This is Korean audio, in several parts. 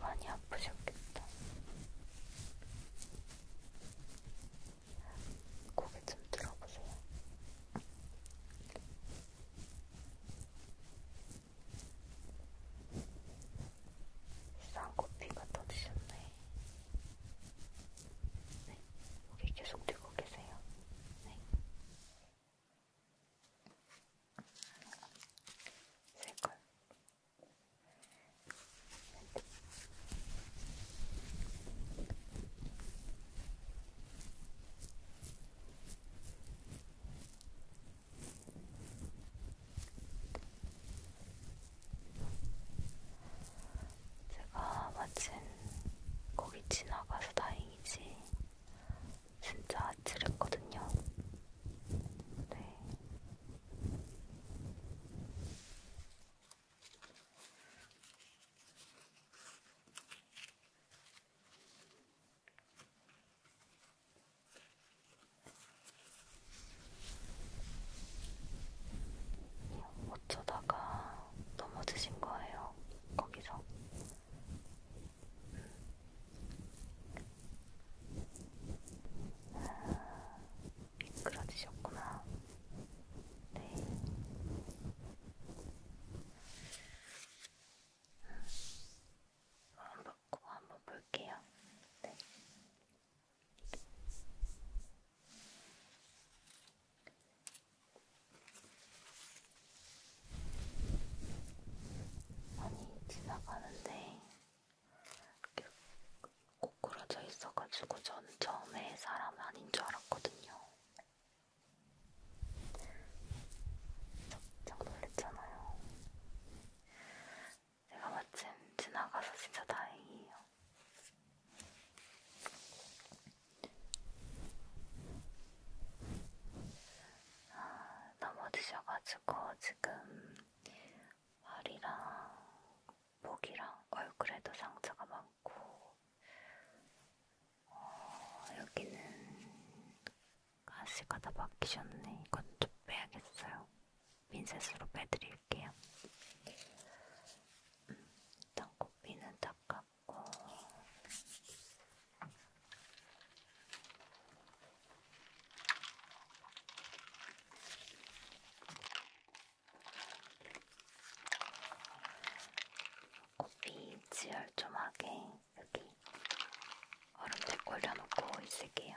많이 아프셨겠다. 고개 좀 들어보세요. 쌍코피가 떠드셨네. 네, 고개 계속 들고 계세요. 네. 색깔. 제가 마침 거기 지나가서 다행이지 진짜 아찔했거든요. 네. 어쩌다가 넘어지신 거예요. 거기서 아, 미끄러지셨구나. 네. 한번 바꾸고 한번 볼게요. 네. 아니, 지나가는데 고꾸라져 있어가지고 전 처음에 사람 아닌 줄 알았거든요. 깜짝 놀랐잖아요. 제가 마침 지나가서 진짜 다행이에요. 아, 넘어지셔가지고 지금 머리랑 목이랑 얼굴에도 상처가 많고 어, 여기는 가시가 다 박히셨네. 이건 좀 빼야겠어요. 핀셋으로 빼드릴게요. 음, 일단 코피는 닦았고 고삐 지혈 좀 하게 여기 얼음팩 올려놓고 있을게요.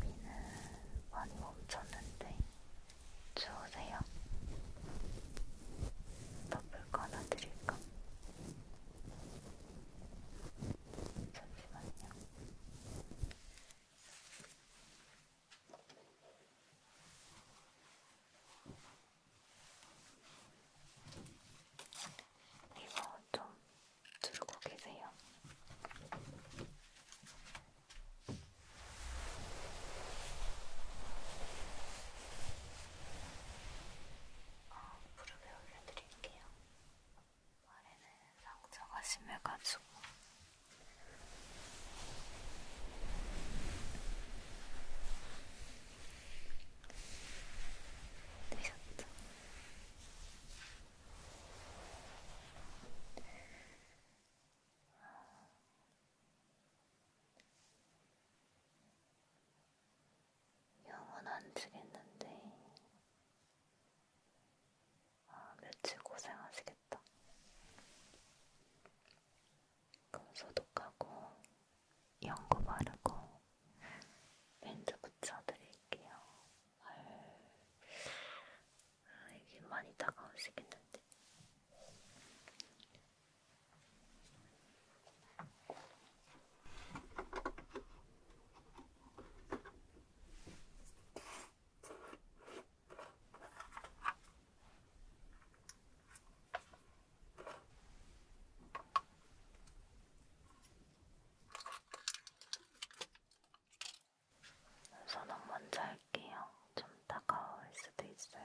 비는 많이 멈췄는데 추우세요? 덮을 거 하나 드릴까? 잠시만요. 이거 좀 두르고 계세요. 어, 아, 무릎에 올려드릴게요. 아래는 상처가 심해가지고 되셨죠? 영은 안 지겠는데 아, 며칠 고생하시겠다. 그럼 소독하고 연고 바르고 밴드 붙여드릴게요. 아, 이게 많이 다가오시겠는데. 손은 먼저 할게요. 좀 따가울 수도 있어요.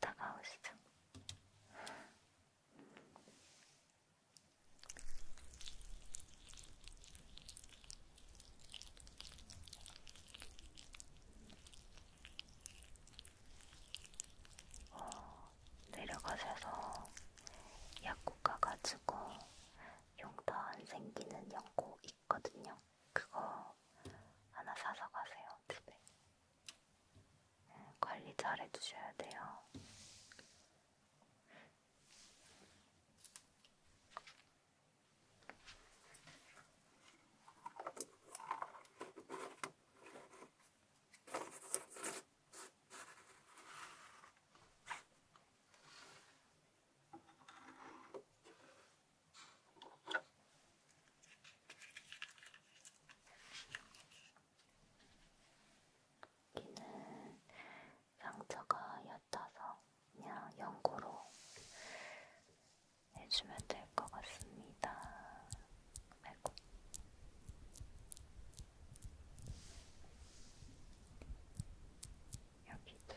다가오시죠. 어, 내려가셔서 약국 가가지고 용돈 안 생기는 약국 있거든요. 그거 하나 사서 가세요, 집에. 관리 잘 해주셔야 돼요. 여기는 상처가 얕아서 그냥 연고로 해주면 될 것 같습니다. 아이고. 여기도.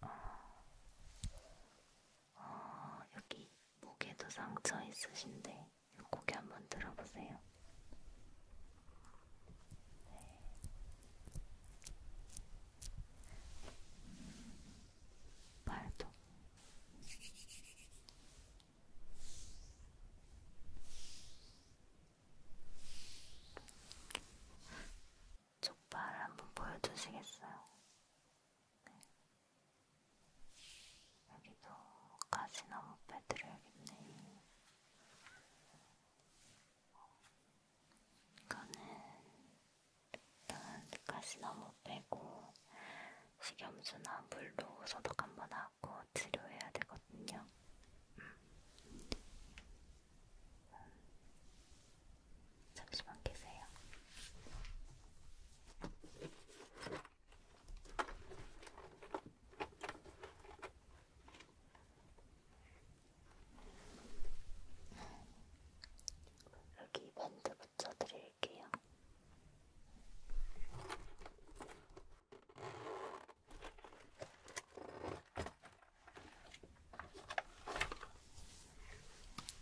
어, 어, 여기 목에도 상처 있으신데 고개 한번 들어보세요. 네. 발도 족발 한번 보여주시겠어요? 네. 여기도 가시나무 빼드려야겠네. 이거는 일단 가시 너무 빼고 식염수나 물로 소독 한 번 하고 치료해야 되거든요. 음. 잠시만 계세요. 여기 밴드 붙여드릴게요.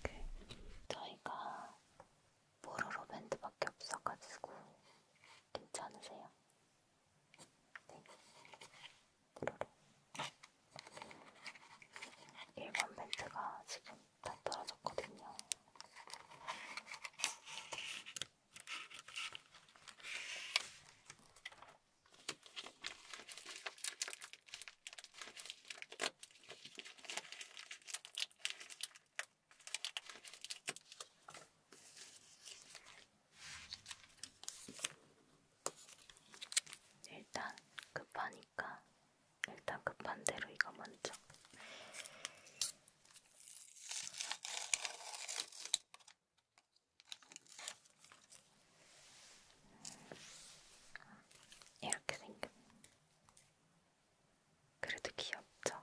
오케이. 그, 저희가 보로로 밴드밖에 없어가지고 괜찮으세요? 네. 1번 멘트가 지금 다 떨어졌거든요. 일단 급하니까 일단 급한 대로 이거 먼저. 이렇게 생겨. 그래도 귀엽죠?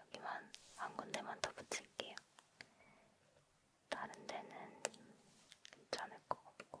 여기만 한 군데만 더 붙일게요. 다른 데는 괜찮을 것 같고.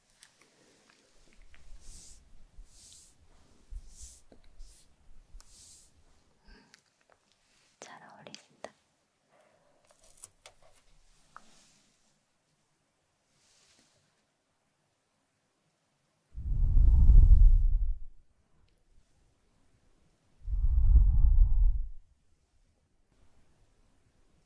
잘 어울리신다.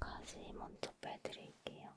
가시 먼저 빼드릴게요.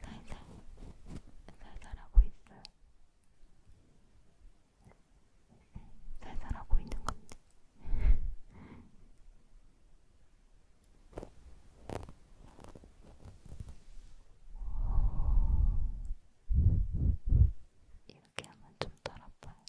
살살 살살하고 있어요. 살살하고 있는 건데. 이렇게 하면 좀 따라봐요.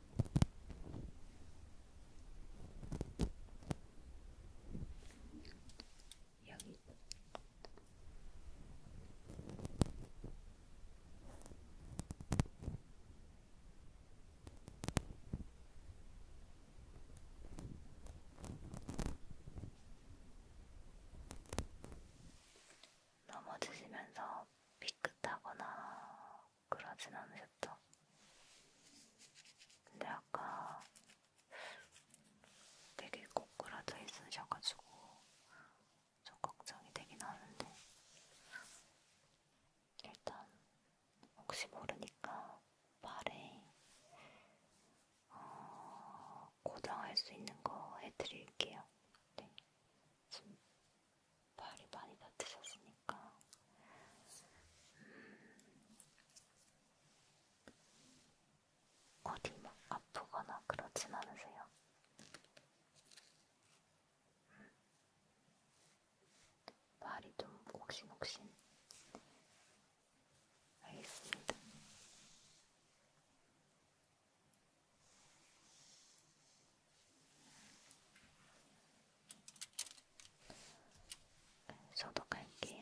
여기 넘어지시면서 삐끗하거나 그러진 않으셨죠? 근데 아까 되게 꼬꾸라져 있으셔가지고 좀 걱정이 되긴 하는데 일단 혹시 모르니까 발에 어, 고정할 수 있는 거 해드릴게요. 네. 발이 많이 다치셨으니까 음, 어디 막 아프거나 그렇진 않으세요? 음, 발이 좀 옥신옥신 알겠습니다. 소독할게요.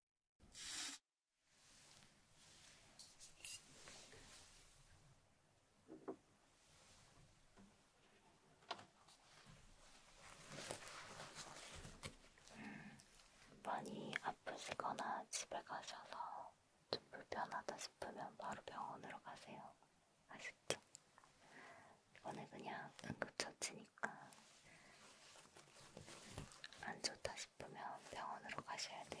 많이 아프시거나 집에 가셔서 좀 불편하다 싶으면 바로 병원으로 가세요. 아시죠? 이거는 그냥 응급처치니까 안 좋다 싶으면 병원으로 가셔야 돼요.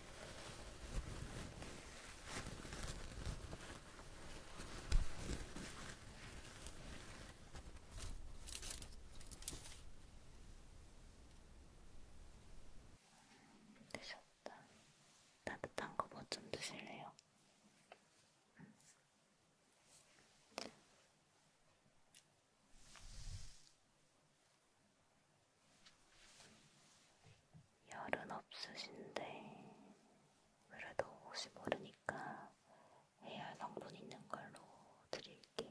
드셨다. 따뜻한 거뭐좀 드실래요? 음. 열은 없으신데 그래도 혹시 모르니까 AR 성분 있는 걸로 드릴게요.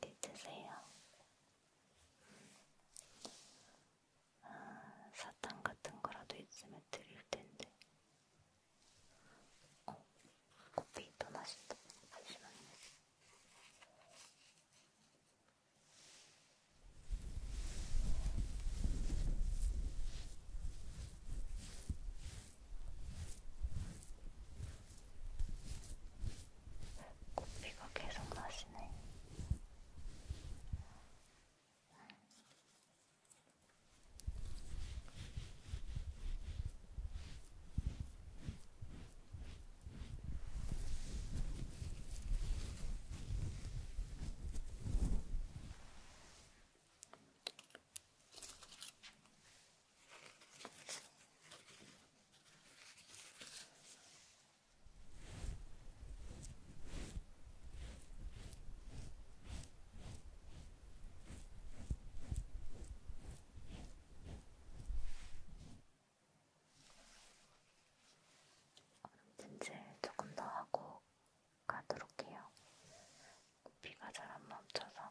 이렇게 드세요. 아, 사탕 같은 거라도 있으면 드릴 텐데. 어, 커피 떠나신다. 잠시만요. 코피가 계속 나시네. 얼음 찜질 조금 더 하고 가도록 해요. 비가 잘 안 멈춰서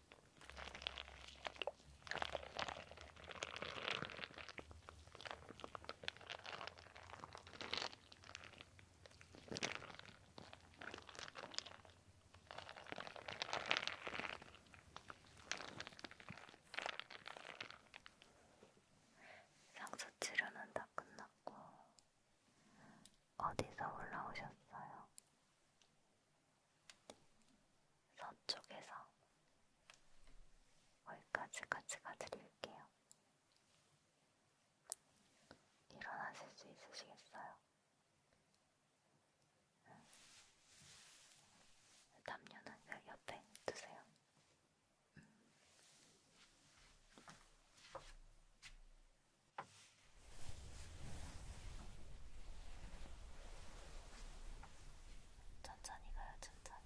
상처 치료는 다 끝났고 어디서 올라오셨어요? 서쪽에서 거기까지 같이 가드릴게요. 일어나실 수 있으시겠어요? 응. 담요는 그 옆에 두세요. 음. 천천히 가요, 천천히.